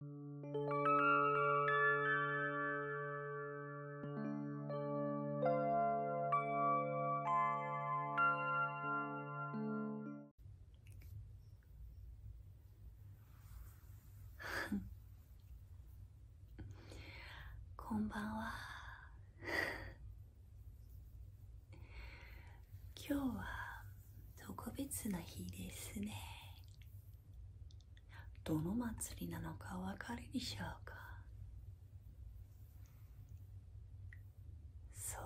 こんばんは今日は特別な日ですねどの祭りなのかわかるでしょうかそう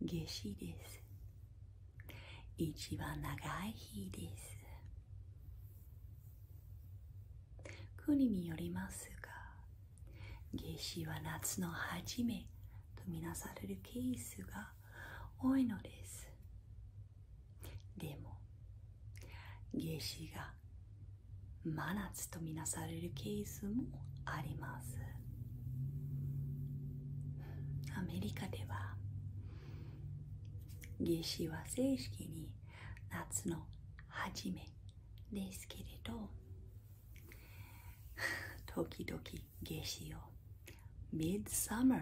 夏至です一番長い日です国によりますが夏至は夏の初めとみなされるケースが多いのですでも夏至が真夏と見なされるケースもありますアメリカでは夏至は正式に夏の初めですけれど時々夏至を m i d s u m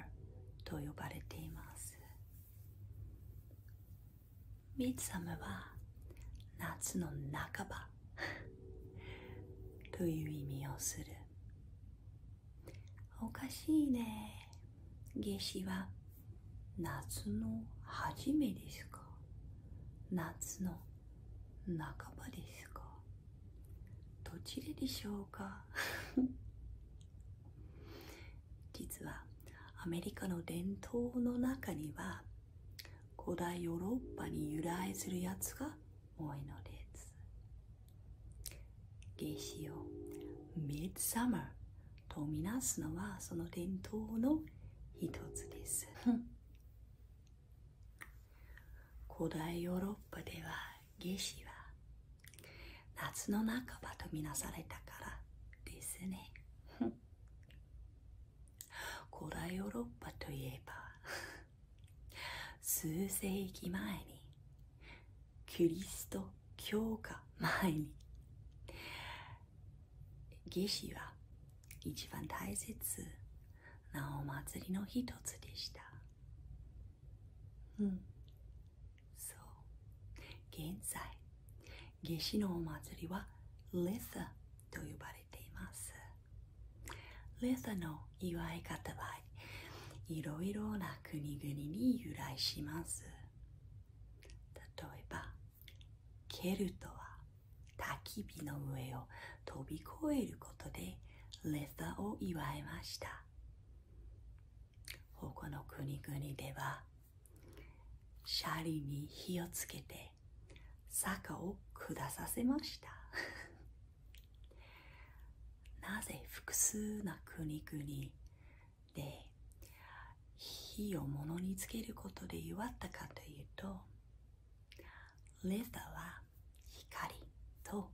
と呼ばれています m i d s u m は夏の半ば という意味をするおかしいね夏至は夏の初めですか夏の半ばですかどちらでしょうか 実はアメリカの伝統の中には古代ヨーロッパに由来するやつが多いのです夏至をミッドサマーとみなすのはその伝統の一つです古代ヨーロッパでは夏至は夏の半ばと見なされたからですね古代ヨーロッパといえば数世紀前にキリスト教が前に夏至は一番大切なお祭りの一つでした。うん。そう。現在、夏至のお祭りはレサと呼ばれています。レサの祝い方はいろいろな国々に由来します。例えば、ケルトは焚き火の上を飛び越えることでレサーを祝いました他の国々ではシャリに火をつけて坂を下させました なぜ複数な国々で火を物につけることで祝ったかというとレザーは光と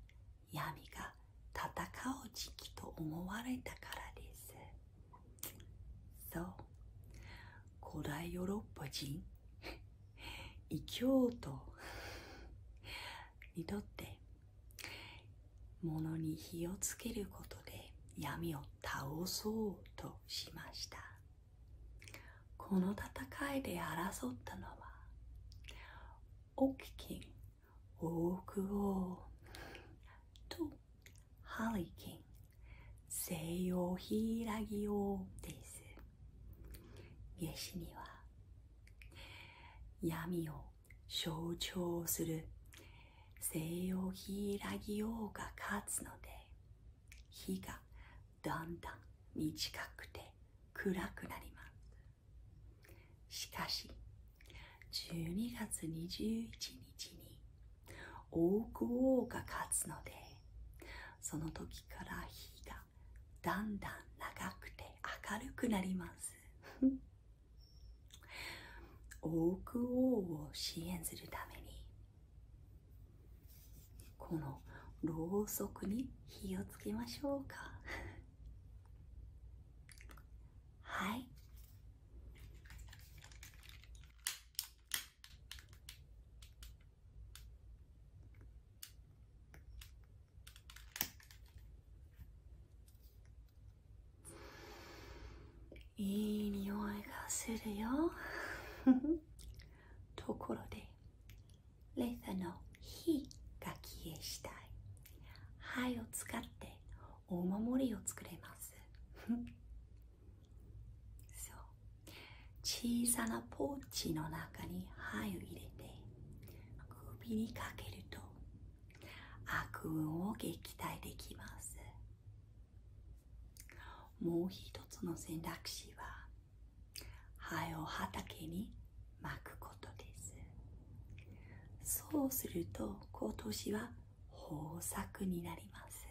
闇が戦う時期と思われたからですそう古代ヨーロッパ人異教徒にとって物に火をつけることで闇を倒そうとしましたこの戦いで争ったのはオキキンオークとハリキ西洋ヒイラギオですイエシには闇を象徴する背を開きようが勝つので日がだんだん短くて暗くなりますしかし12月21日に大久王が勝つのでその時から日がだんだん長くて明るくなりますオーク王を支援するためにこのろうそくに火をつけましょうか はいいい匂いがするよ ところでレザの火が消えしたい灰を使ってお守りを作れます そう小さなポーチの中に灰を入れて首にかけると悪運を撃退できますもう一つの選択肢は灰を畑に巻くことですそうすると今年は豊作になります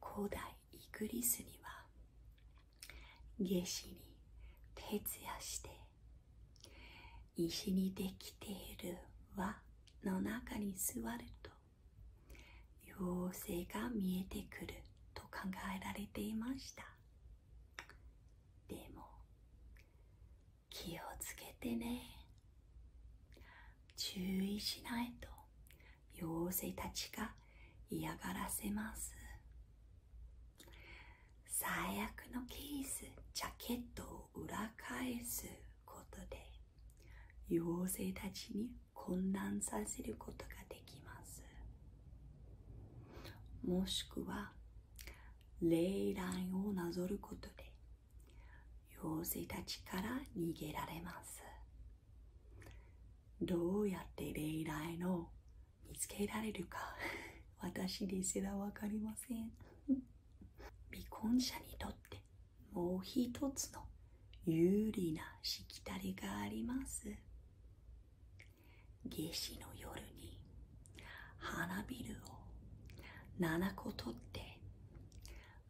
古代イギリスには夏至に徹夜して石にできている輪の中に座ると妖精が見えてくると考えられていましたでも気をつけてね注意しないと妖精たちが嫌がらせます最悪のケースジャケットを裏返すことで妖精たちに混乱させることができますもしくは霊雷をなぞることで妖精たちから逃げられますどうやって霊来の見つけられるか 私ですら分かりません 未婚者にとってもう一つの有利なしきたりがあります夏至の夜に花びるを7個取って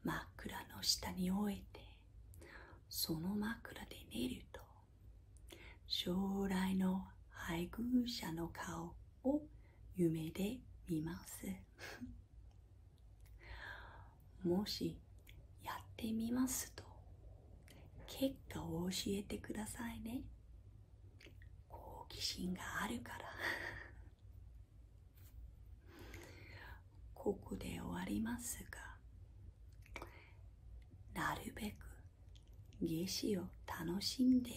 枕の下に置いてその枕で寝ると将来の配偶者の顔を夢で見ます もしやってみますと結果を教えてくださいね好奇心があるから ここで終わりますがなるべく夏至を楽しんで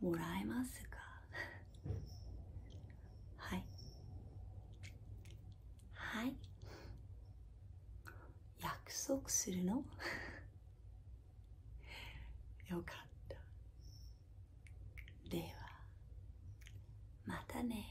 もらえますか はいはい約束するの よかったではまたね